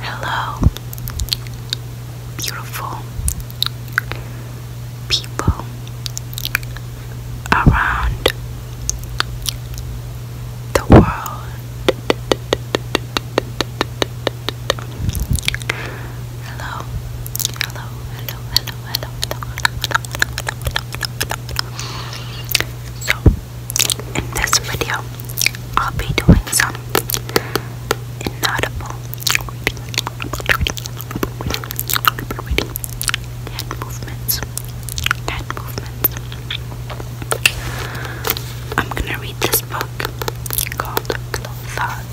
Hello, beautiful people around the world. Hello. Hello, hello, hello, hello, hello, hello. So, in this video, I'll be doing some inaudible hand movements. Hand movements. I'm gonna read this book called Clotha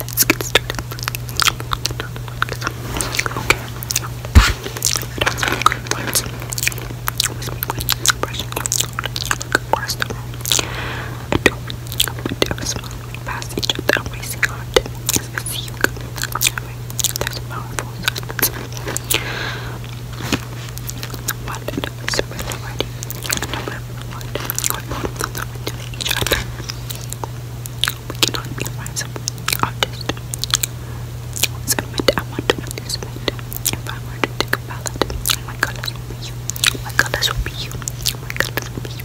Let's get started. Okay. That's some good words. Always make good expression. First of all, I don't do as well past each other every single day. As I see you go. There's a powerful silence. One, super already. Number we cannot be friends artist. Submit, I want to be If I were to take a ballot, my colors would be you. My colors would be you. My colors would be you.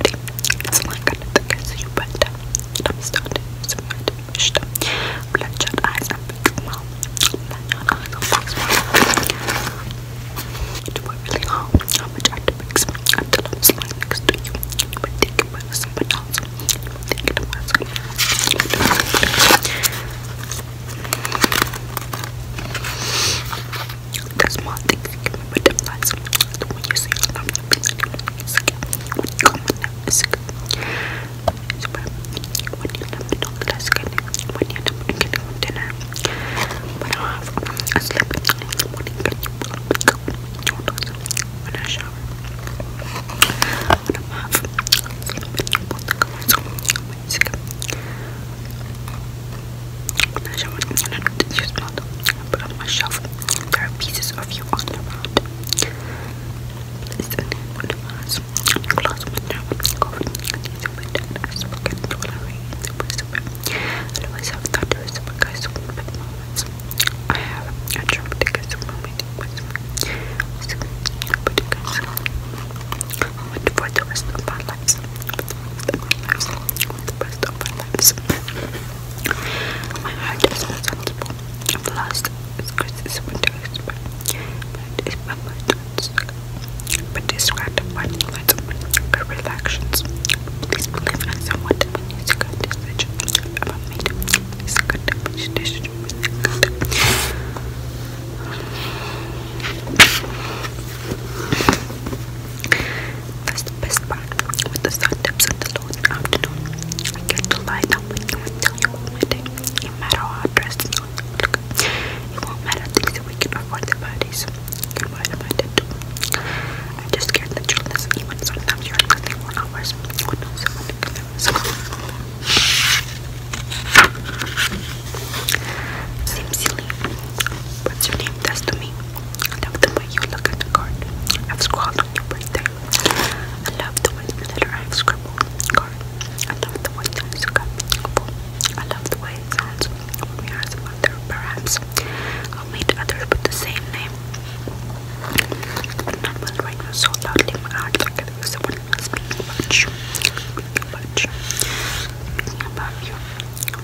It's like an attack as you but I'm starting some wished bloodshot eyes and mouth. Bloodshot eyes and big mouth. It worked really hard I had to mix until I was lying next you. You were thinking about someone else. You were thinking about someone else. There's more things you but you say, I'm the best. When you never don't let's get when you never get on dinner. I have in the morning, but uh, you will not when I shower. When I'm half, sleep when you want to come on, so it's good. When I shower, and I don't put on my shelf. There are pieces of you on the ground. It's only one of us. Glass window. These are window. I to all I read. I always have thunderous guys moments. I have a traumatic So, but you guys, I want for the of For the rest of my lives. For the my heart is not I've lost its criticism and but it's my But describe the finding lights of her reactions. Please believe in someone when you see good decision about me. It's a good decision. Good. That's the best part with the sun dips in the late afternoon. I get to lie down with you and tell you all my day. No matter how dressed you look, it won't matter things that we can afford the bodies. Goodbye to my dad too. I just can't you listen even sometimes you're nothing for hours. Who What's your name? That's I love the way you look at the card. I've scrawled on your birthday. I love the way the letter I've scribbled card. I love the way times you got beautiful. I love the way it sounds when we ask mother. Perhaps I'll meet others with the same name. But not when right now so loudly my heart like it was someone speaking about you. Speaking about you. Speaking about you.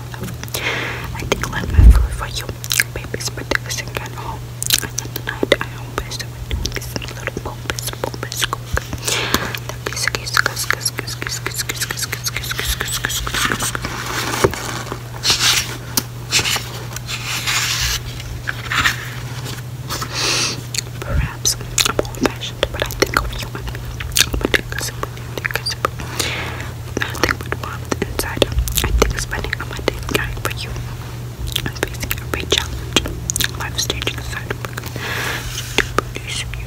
I think let my food for you. Baby's birthday is again home. And then I am best with doing some little bombas, bombas cook. The piece of kiss, kiss, kiss, kiss, kiss, kiss, kiss, kiss, kiss, kiss, kiss, kiss, kiss, kiss, Perhaps I'm old fashioned, but I think of you I'm a nothing but warmth inside. I think spending a Monday night for you and facing a big challenge, life stage inside of to produce you.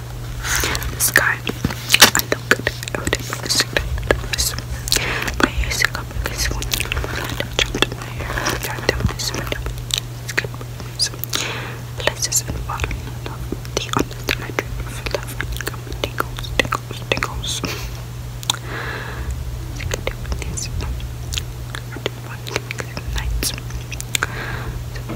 This guy, I don't get it. I wouldn't miss it. My hair is up because when you jumped my hair, I tried to miss it. It's good. So, places in the bottom of the undergraduate of love and come tickles, tickles, tickles. I can do this. I do one thing nights. So,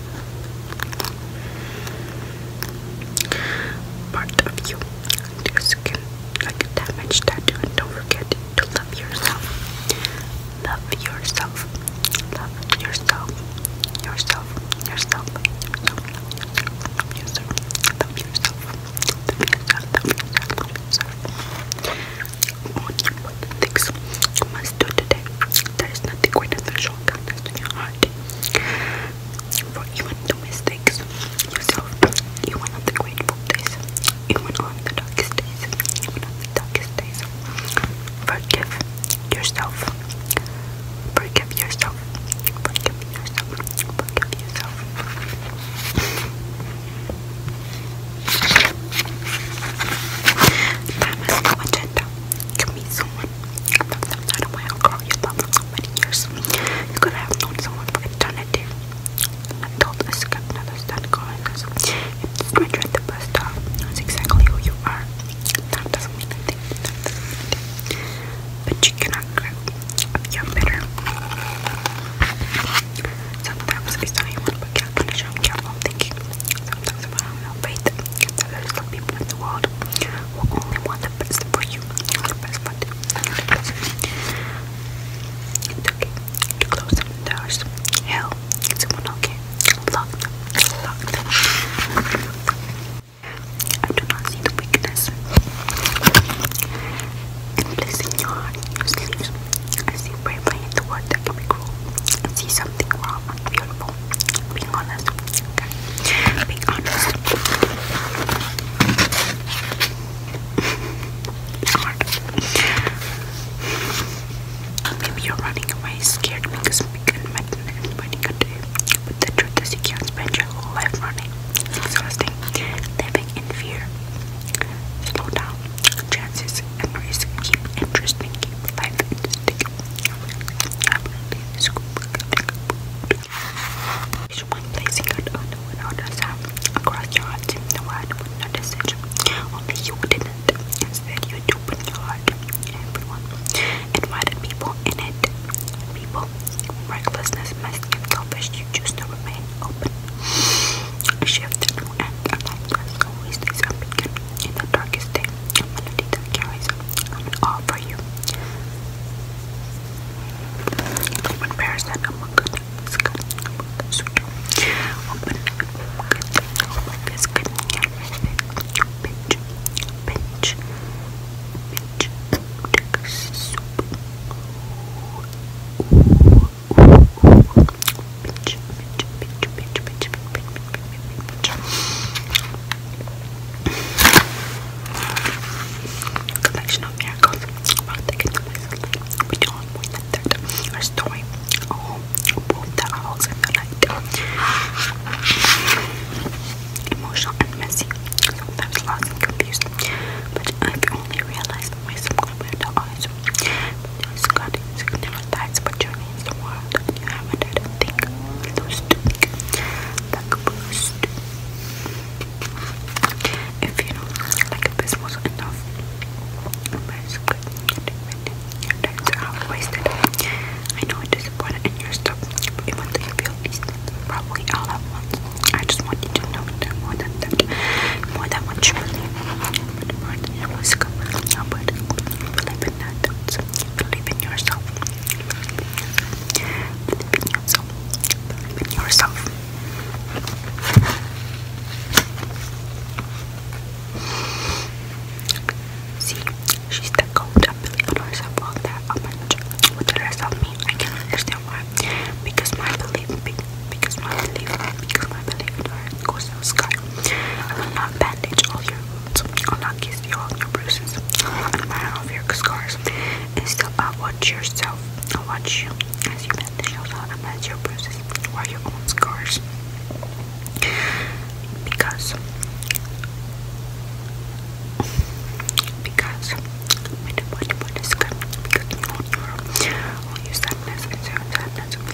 part of you your skin like damage tattoo and don't forget to love yourself love yourself love yourself yourself yourself yourself yourself love yourself love yourself love yourself love yourself what things must do today. There is nothing greater than showing kindness to your heart. For even the mistakes yourself, even on the grateful days, even on the darkest days, even on the darkest days, forgive yourself. Forgive yourself. Forgive yourself. Forgive yourself. Time is no agenda. Give me someone. I've loved them not a while, You've loved them so many years. You could have known someone for eternity. I told this skip not to start calling us. the stranger at the exactly who you are, that doesn't mean anything. But you cannot grow up. You're bitter. Sometimes I saw you want to be careful, i I'm thinking. Sometimes I don't uh, faith that there some people in the world who only want the best for you, the best for you. okay close them doors. Hell, it's one okay. Lock I do not see the weakness. And placing your heart in your I see bravery in the word that can be cruel and see something raw and beautiful. Being honest, okay? Being honest. it's hard. Maybe you're running away scared because we can imagine anybody could do. But the truth is you can't spend your whole life running. It's exhausting. Living in fear. Slow down. Chances and risk keep interesting. Someone placing a donut without a sound across your heart. The world would not decision. Only you didn't. Instead, you do open your heart. Everyone invited people in it. People, recklessness, must give selfish. You choose to remain open. Shifted and a lifeless always is a beacon in the darkest day, a melody that carries an awe for you. Open prayers that among good, is good, among the sweet. Open good, open is good, pinch, pinch, pinch, take soup. Ooh, ooh, ooh, ooh pinch, pinch, Collection of miracles. Our story. Oh, Emotional and messy. Sometimes lost and confused. But I've only realized myself when the eyes no Scotty signifies but you means the world. You haven't had a Those two. Like boost. If you know, like if this enough. Basically, your times are half wasted. I know it disappointed in your stuff, but even though feel these probably all at once. I just want you to know more than that. More than what you believe your music, but believe in that, believe in yourself, believe in yourself, believe in yourself. See, she's the coach. I believe in myself all that a bunch. With the rest of me, I can understand why. Because my belief, because my belief, because my belief in her goes to the sky. I will not bandage all your wounds. I will not kiss you all your bruises. I will not admire all your scars. Instead, I uh, watch yourself. I watch you as you bandage yourself uh, and as your bruises or your own scars. Because, because, because you own your, all your sadness and sadness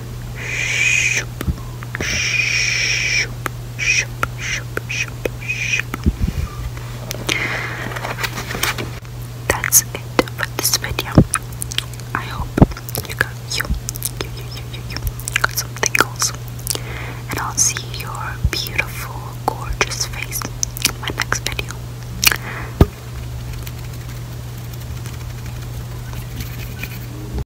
Shoop, shoop, shoop, shoop, shoop, shoop. That's it for this video. I hope you got you, you, you, you, you, got some tingles, and I'll see your beautiful, gorgeous face in my next video.